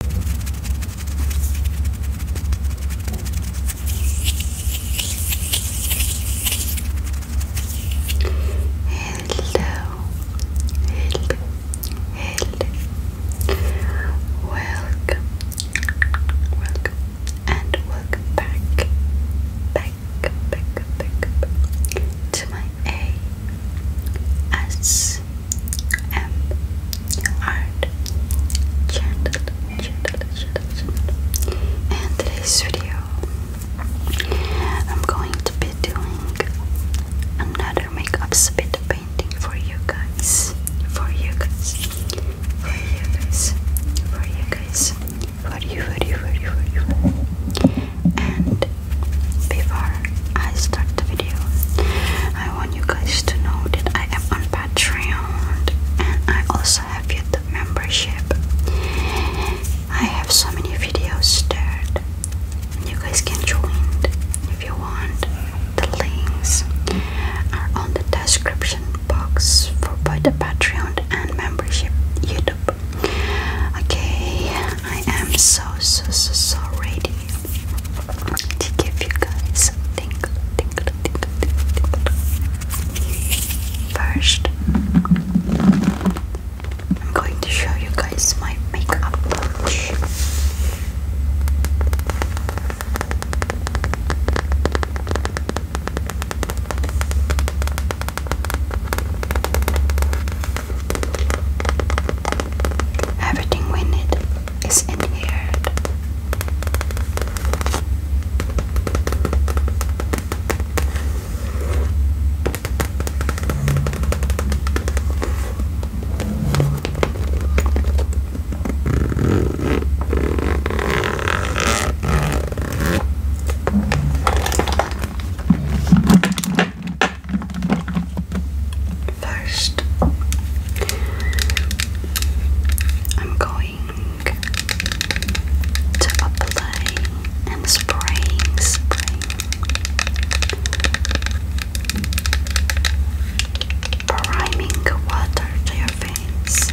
Hello, hello, hello. Welcome, welcome, and welcome back, back, back, back, to my S M Art channel, channel, channel, And today's video, I'm going to be doing another makeup spit painting for you guys, for you guys, for you guys, for you guys, for you, for you, for you, for you, and before I start the video, I want you guys to know that I am on Patreon and I also have YouTube membership. I have so many videos there. You guys can join if you want. The links are on the description box for both the Patreon and membership YouTube. Okay, I am so so so so ready to give you guys some tingle, tingle, tingle, First, I'm going to show you guys my makeup pouch. Everything we need is in here. First, I'm going to apply and spraying, spraying, priming water to your face.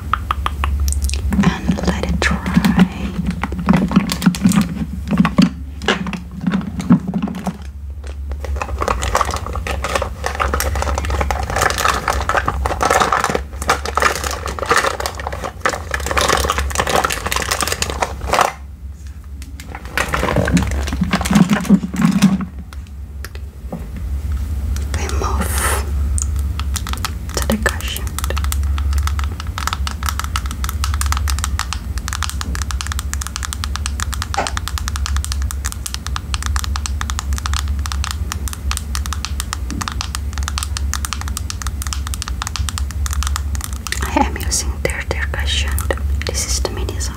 and let it dry we move to the cushion. I am using their their cushion. This is the mini size.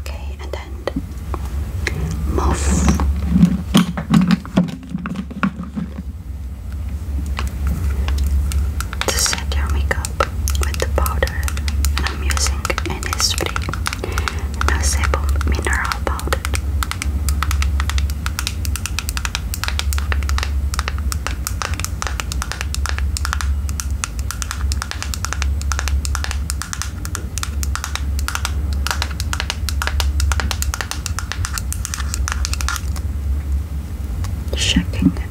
Okay, and then move. To set your makeup with the powder, I'm using Innisfree Noseable Mineral Powder. Checking it.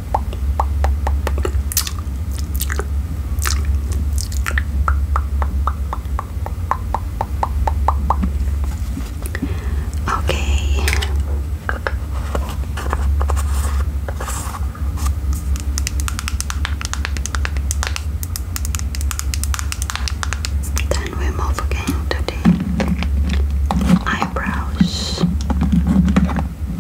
Okay. Then we move again to the eyebrows.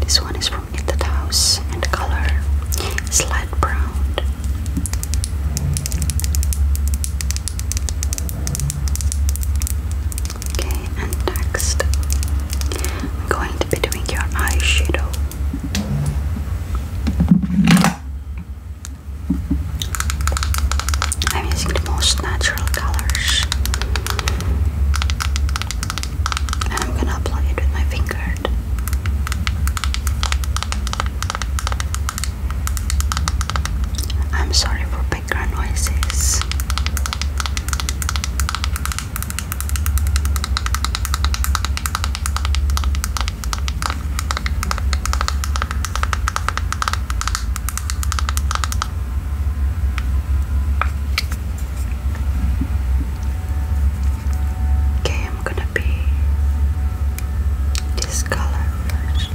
This one is from Knitted House and the color is light brown. Okay, and next, I'm going to be doing your eyeshadow. I'm using the most natural colors, and I'm gonna apply it with my finger. I'm sorry for Okay, I'm gonna be this color first.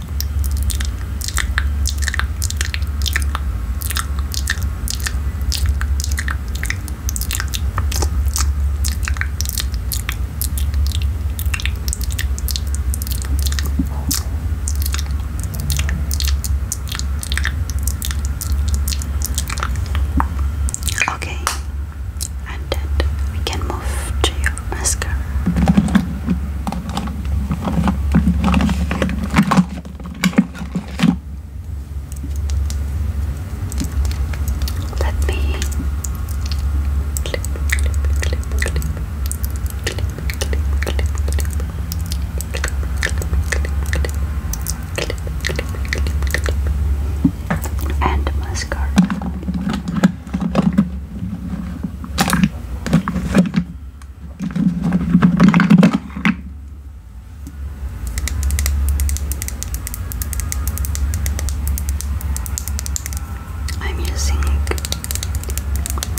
Okay, and we can move to mascara. Let me and mascara. I'm using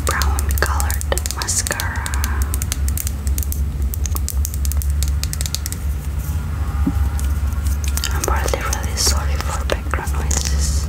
brown colored mascara. I'm really, really sorry for background noises.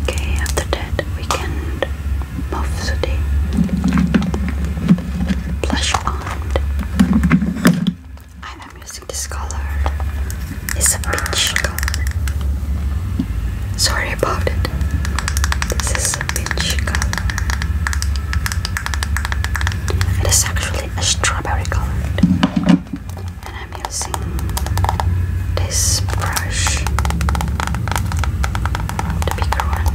Okay, after that we can move to blush on. I'm using this color. It's a peach color. Sorry about it. This is a peach color. It is actually a strawberry color. And I'm using this brush. The bigger one.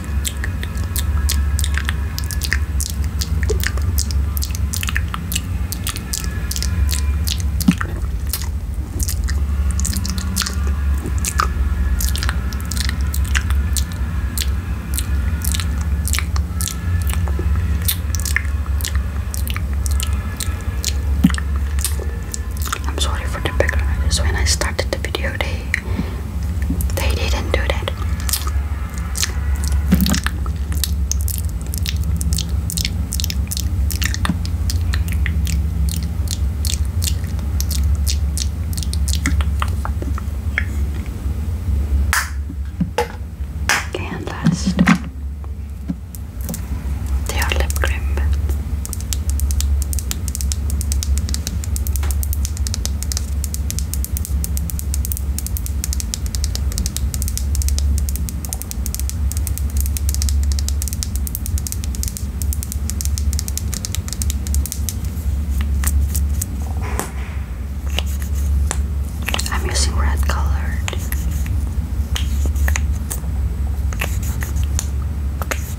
I'm sorry for the background noise. When I started the video, they they didn't do that. And last, their lip cream. I'm using red colored.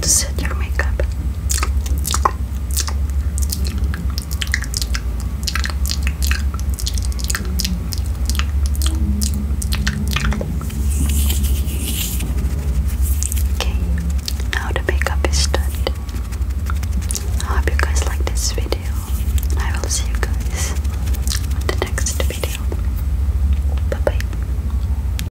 to set your makeup. Okay, now the makeup is done. I hope you guys like this video. I will see you guys on the next video. Bye bye.